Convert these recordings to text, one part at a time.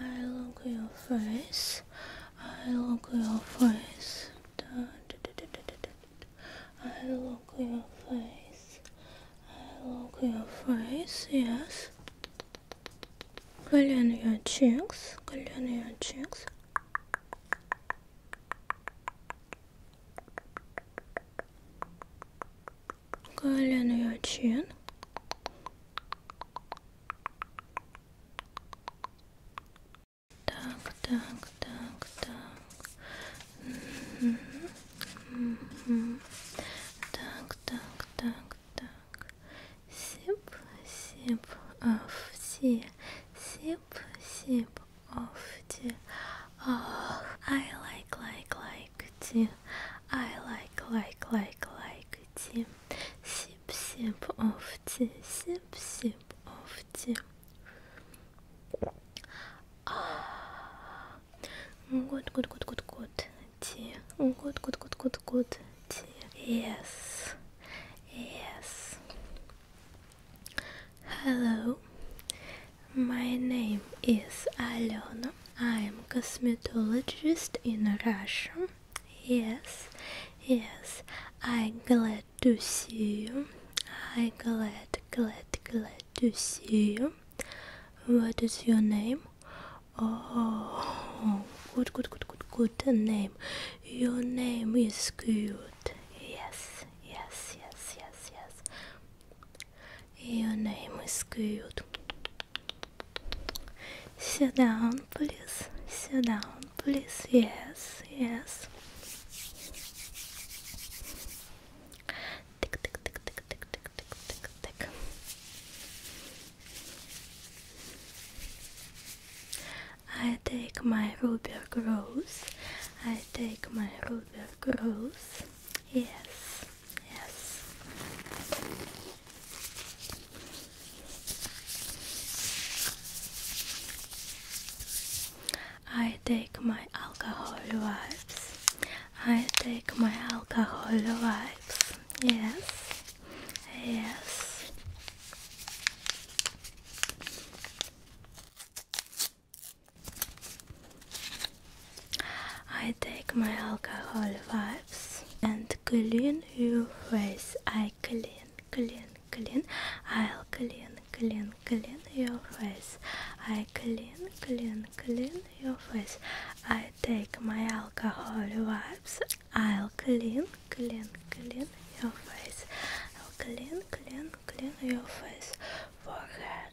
I look your face. I look your face. I look your face. I look your face. Yes. Clean your cheeks. Clean your cheeks go Так, так, так, так. Так, так, так, так. Sip, sip of tea. Sip, sip of tea. Oh, I like, like, like likety I like like like likety Sip sip of tea Sip sip of tea Ah Good good good good good tea Good good good good good tea Yes Yes Hello my name is Alena. I am cosmetologist in Russia. Yes, yes. I glad to see you. I glad, glad, glad to see you. What is your name? Oh, good, good, good, good, good name. Your name is cute. Yes, yes, yes, yes, yes. Your name is good. Sit down, please. Sit down, please. Yes, yes. tick, tick, tick, tick, tick, tick, tick, tick. I take my ruby rose. I take my ruby rose. Yes, yes. I take my alcohol wipes. I take my alcohol wipes. Yes, yes. I take my alcohol wipes and clean your face. I clean, clean, clean. I'll clean, clean, clean your face. I clean, clean, clean your face. I take my alcohol wipes. I'll clean, clean, clean your face. i clean, clean, clean your face. Forehead.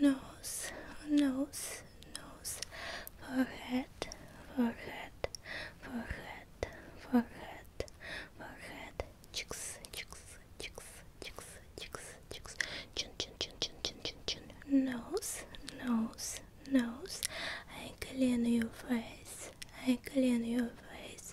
nose, nose, nose, forehead, forehead, forehead, forehead, forehead, cheeks, cheeks, cheeks, cheeks, cheeks, cheeks, chin, chin, chin, chin, chin, chin, chin, nose, nose, nose, I clean your face, I clean your face.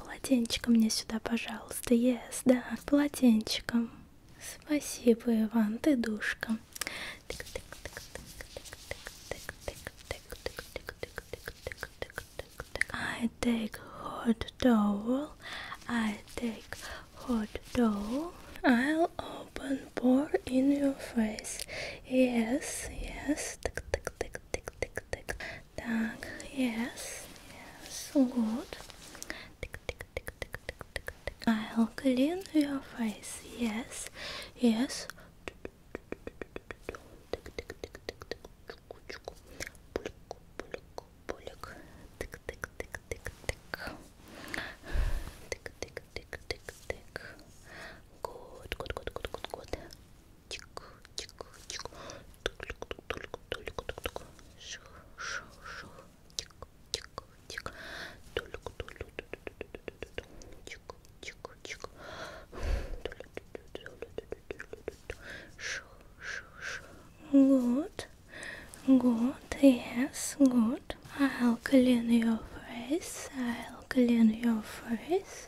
полотенчиком мне сюда, пожалуйста. Yes, да, полотенчиком. Спасибо, Иван, ты душка. I take hot towel. I take hot towel. I'll open pour in your face. Yes, yes. Так, yes, yes, good. I'll clean your face. Yes, yes. good, good, good, good, good. Good, good, yes, good. I'll clean your face, I'll clean your face.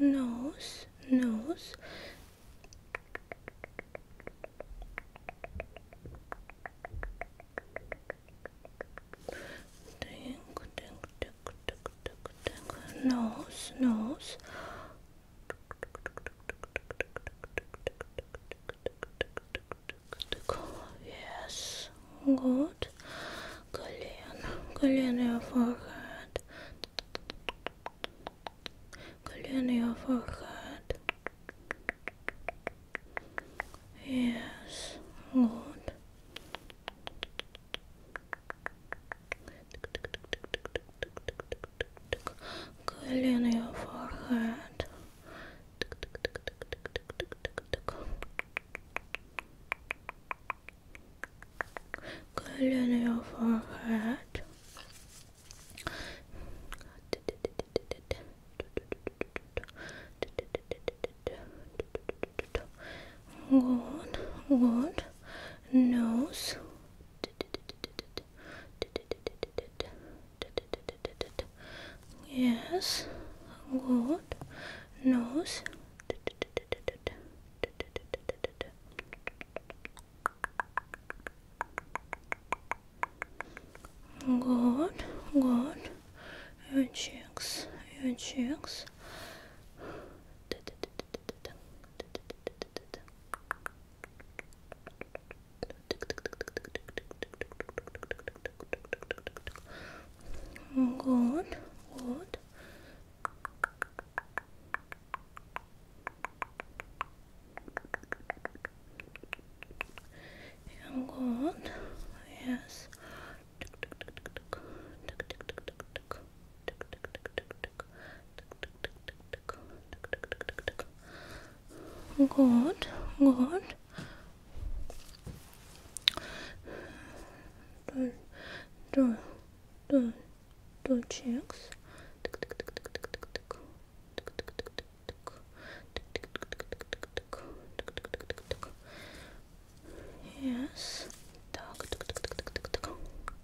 nose, nose. Dink, dink, dink, dink, dink, nose, nose. Yes, good. Колено, колено your forehead. Колено your forehead. Yes, good curl in your forehead. Curl in your forehead. Good, good. Nose. Yes, good. Nose. Good, good. Your cheeks, your cheeks. Good, Good, good. And good. Yes. Tick tick tick tick good good do do do do checks yes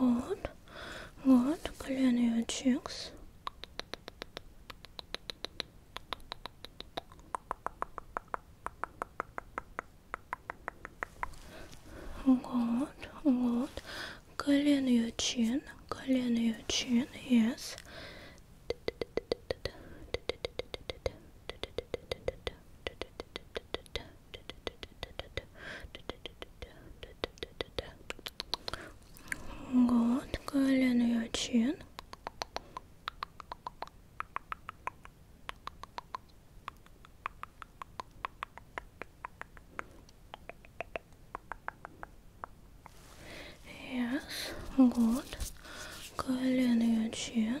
Вот, вот, колено и чекс. Вот, вот, колено your chin, колено your chin, yes. Вот, колено и чин. Yes, good. Colin your chin.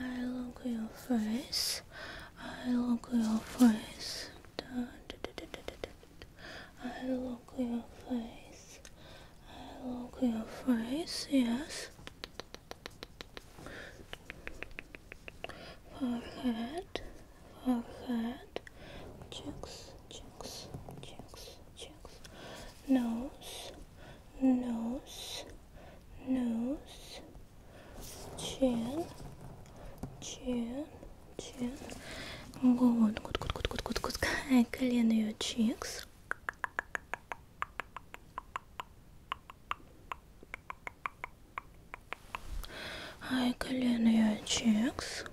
I look your face. I look your face. I look your face. I look your face. Yes. Forehead. Forehead. Cheeks. Cheeks. Cheeks. Cheeks. Nose. Nose nose, chin, chin, chin. Вот, good, good, good, good, good, good. I clean your cheeks. I clean your cheeks.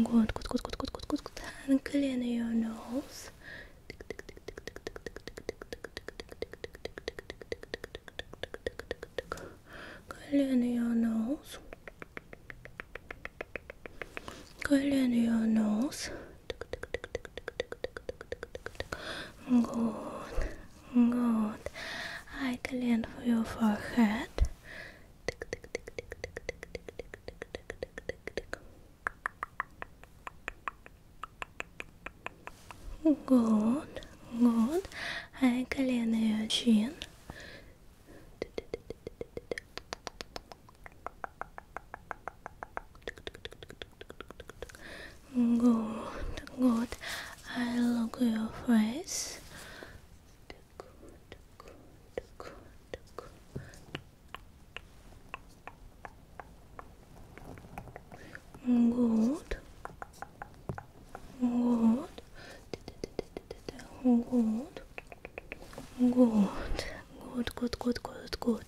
Good, good, good, good, good, good, good, good. clean your nose. Clean your nose. Clean your nose. Good, good. I clean your forehead. Good, good. Arkalene için. Good, good. I love your face good, good, good, good. Good. Good. Good. Good. Good, good, good, good, good.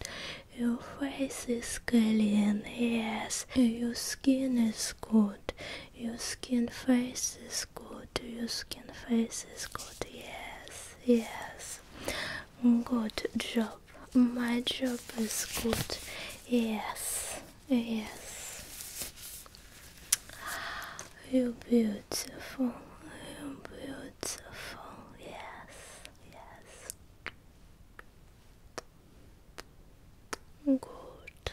Your face is clean, yes. Your skin is good. Your skin face is good. Your skin face is good. Yes, yes. Good job. My job is good. Yes, yes. You're beautiful. You're beautiful. Yes, yes. Good.